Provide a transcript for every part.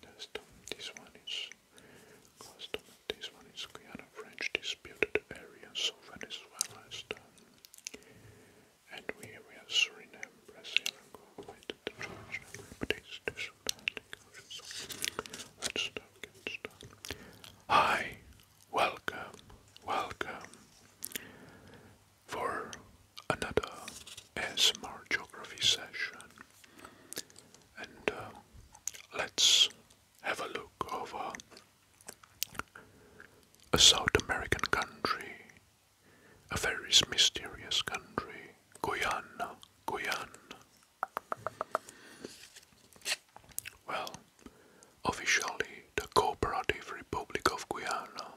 Custom. This one is custom. This one is Guyana French disputed area, so Venezuela is done. And we, we have Suriname, Brazil, and Kuwait, the Georgia, States, the Sudan, so let's start, get started. Hi, welcome, welcome for another ASMR geography session and uh, let's have a look over a South American country, a very mysterious country, Guyana, Guyana. Well, officially the Cooperative Republic of Guyana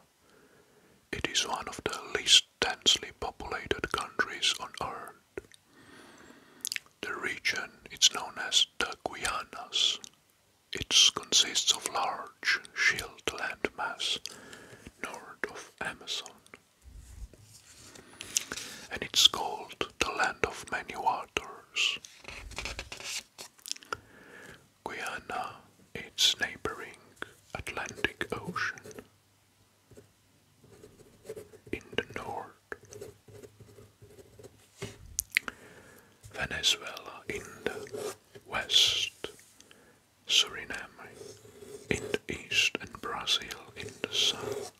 it is one of the least densely populated countries on Earth. The region is known as the Guianas. It consists of large shield landmass north of Amazon. And it's called the land of many waters. Guyana, its neighboring Atlantic Ocean, in the north, Venezuela in the west, Suriname in the east, and Brazil in the south.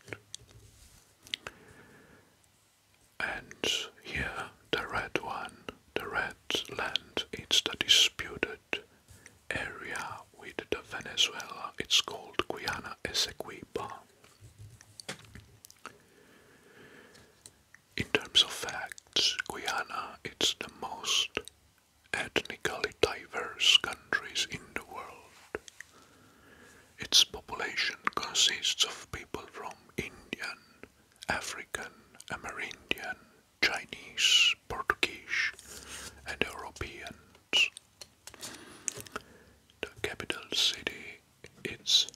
And here, the red one, the red land, it's the disputed area with the Venezuela. It's called Guyana Essequiba. In terms of facts, Guiana is the most ethnically diverse countries in the world. Its population consists of people from Indian, African, Amerindian, Chinese, Portuguese, and Europeans. The capital city is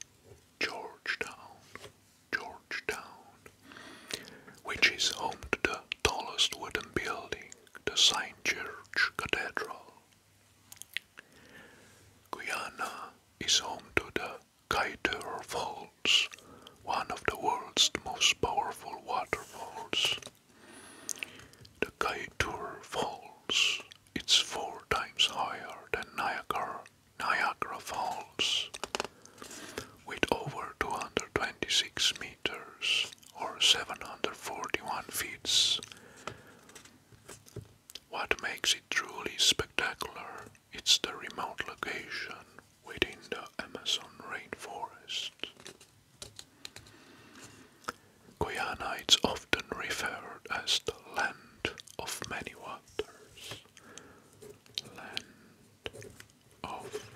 Georgetown, Georgetown, which is home to the tallest wooden building, the Saint George Cathedral. Guyana is home to the Kaitor Falls, one of the world's most powerful waterfalls. The Kaitor Falls it's four times higher than Niagara, Niagara Falls, with over 226 meters or 741 feet. What makes it truly spectacular it's the remote location within the Amazon rainforest. Guyana often referred as the land of many waters. Land of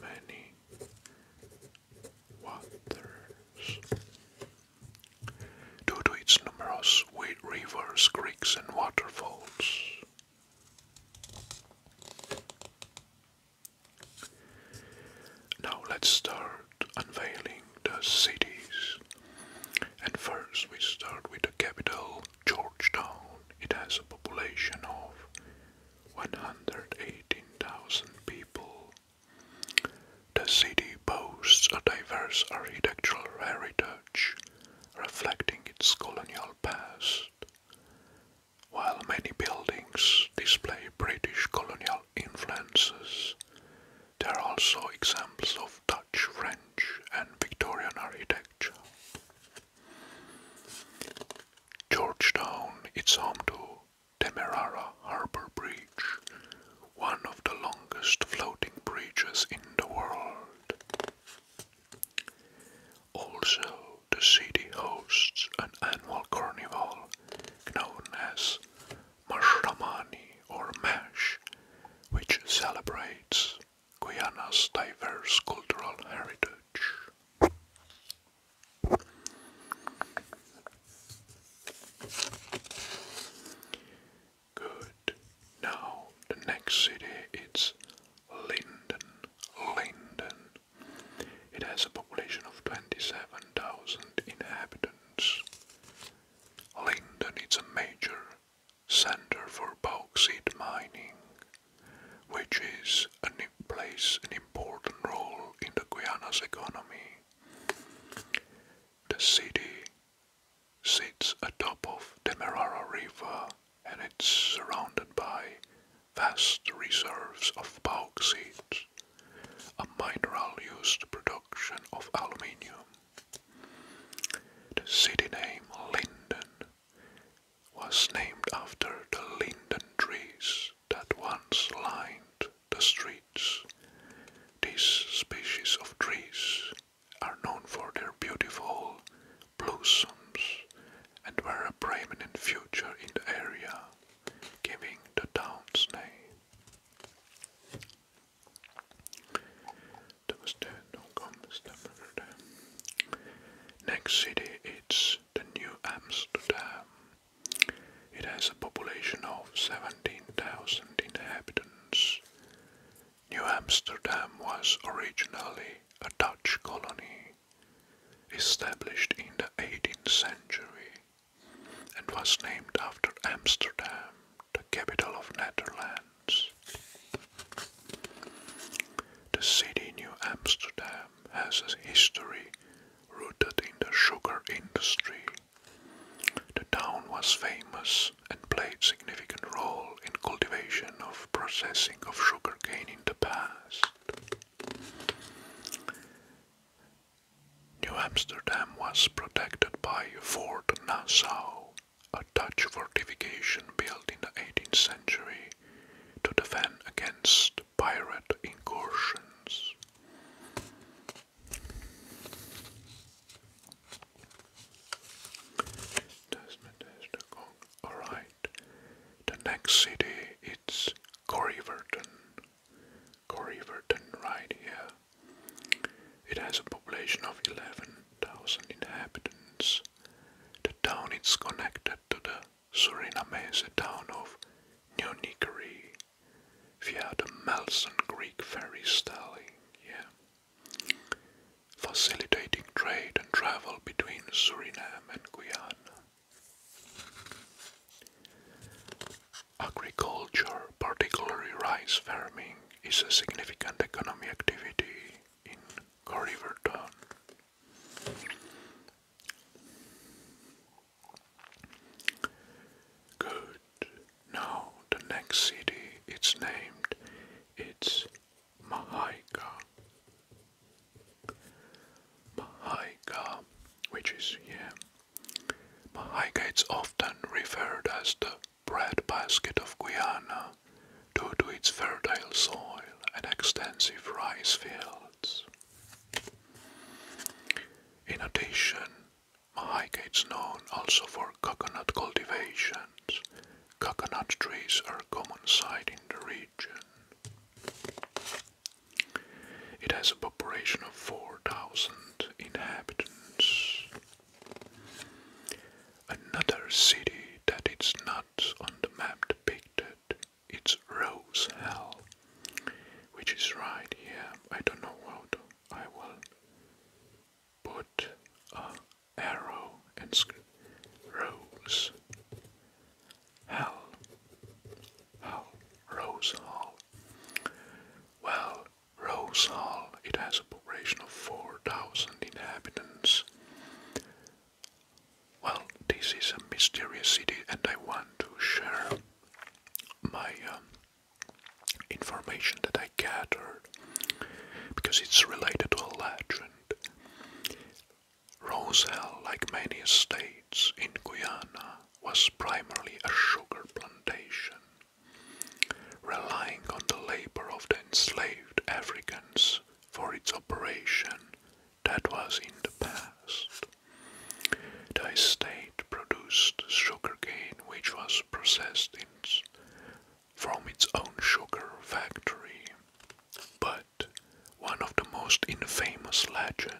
many waters due to its numerous rivers, creeks and waterfalls. Now let's start unveiling the cities. And first we start with the capital, Georgetown. It has a population of 118,000 people. The city boasts a diverse architectural heritage reflecting its colonial past, while many buildings display British colonial influences. There are also examples of Dutch, French, and Victorian architecture. Georgetown is home to Temerara Harbour Bridge, one of the longest floating bridges in the world. Also, the city hosts an annual carnival known as Mashramani or Mash, which celebrates Guyana's diverse cultural heritage. Good. Now the next city is Linden. Linden. It has a population of 27,000 inhabitants. Linden is a major center for bauxite mining, which is an, plays an important role in the Guianas economy. The city sits atop of the Merara River and it's surrounded by vast reserves of bauxite, a mineral used to production of aluminium. The city name Linden was named after the linden trees that once lined the streets. These species of trees are known for their beautiful blossoms and were a prominent feature in the area, giving the town's name. Next city it's the New Amsterdam, it has a population of 17,000 inhabitants. New Amsterdam was originally a Dutch colony, established in the 18th century, and was named after Amsterdam, the capital of Netherlands. The city New Amsterdam has a history rooted in the sugar industry the town was famous and played significant role in cultivation of processing of sugar cane in the past. New Amsterdam was protected by Fort Nassau, a Dutch fortification built in the 18th century to defend against pirate incursions. Alright, the next city is Corriverton. Corriverton, right here. It has a population of 11,000 inhabitants. The town is connected to the Suriname is a town of New Neonicary via the Melson Greek ferry styling, yeah, facilitating trade and travel between Suriname and Guyana. Agriculture, particularly rice farming, is a significant economic activity in Corriverton. Good. Now the next city it's named it's Mahaika. Mahaika, which is yeah. Mahaika is often referred as the breadbasket of Guyana due to its fertile soil and extensive rice fields. In addition, Mahaika is known also for coconut cultivation. Coconut trees are common sight in the region. It has a population of 4,000 inhabitants. Another city that is not on the map depicted it's Rose Hall, which is right here. I don't know what I will put a arrow and script Rose Hell. Hell, Rose Hall. Well, Rose Hall, it has a population of 4,000 inhabitants. Well, this is a mysterious city, and I want to share my um, information that I gathered because it's related to a legend. Rose Hill, like many estates in Guyana, was primarily a sugar plantation, relying on the labor of the enslaved Africans for its operation that was in the past. The estate produced sugar cane, which was processed from its own sugar factory. But one of the most infamous legend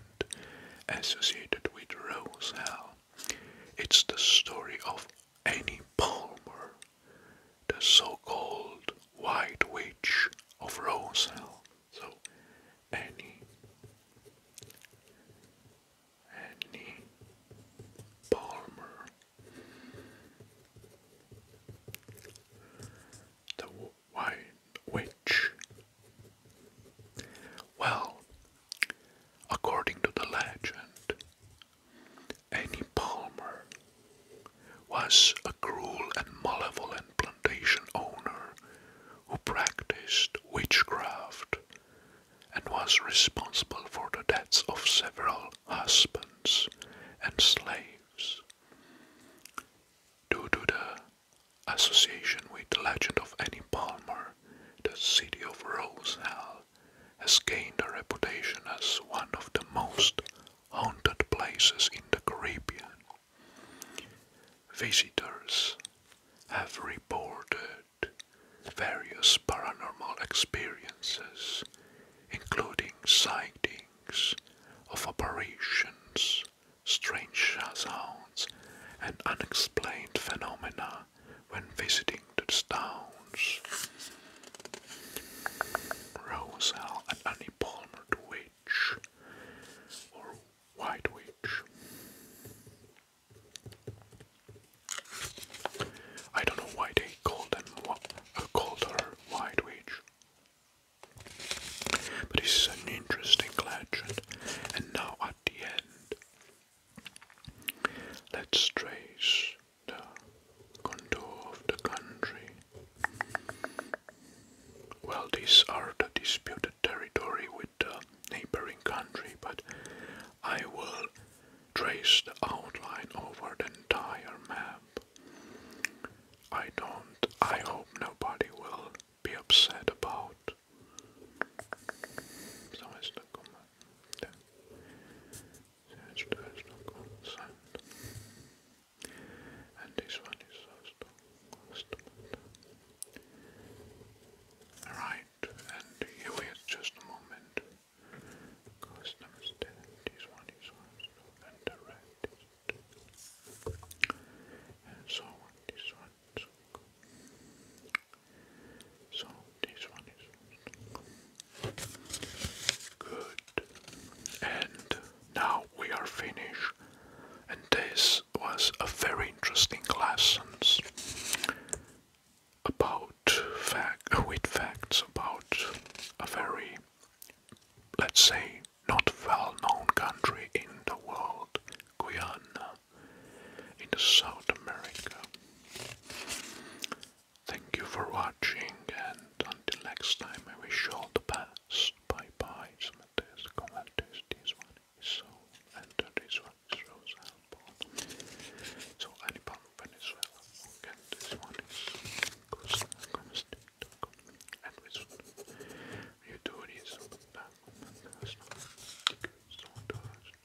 associated with Rose hill it's the story of Annie Palmer, the so-called White Witch of Roselle. So, any Annie Palmer, the White Witch. Well, according to the legend, Annie Palmer was a cruel and malevolent plantation owner who practiced witchcraft and was responsible for the deaths of several husbands and slaves. Due to the association with the legend of Annie Palmer, the city of Rose Hill has gained a reputation as one of the most haunted places in the Caribbean. Visitors have reported various paranormal experiences, including sightings of apparitions, strange sounds, and unexplained phenomena when visiting the towns. Rosal and Annie Palmer Witch or White Witch. I don't know why they called them uh, called her White Witch. But this an interesting legend. And now at the end, let's trace the contour of the country. Well, these are the disputed territory with the neighboring country, but I will trace the outline over the entire map. I don't, I hope nobody will be upset about. Yes, there is no consent. And this one is also constant. Alright, and here we just a moment. Custom is this one is also, and the And so on, this one so this one is good. And now we are finished. And this was a very interesting lessons about fact with facts about a very let's say not well known country in the world, Guyana in the South America. Thank you for watching, and until next time, I wish you all the best. Bye bye. Some this, one is so, and this one is rose So, Anipam Venezuela, and this one is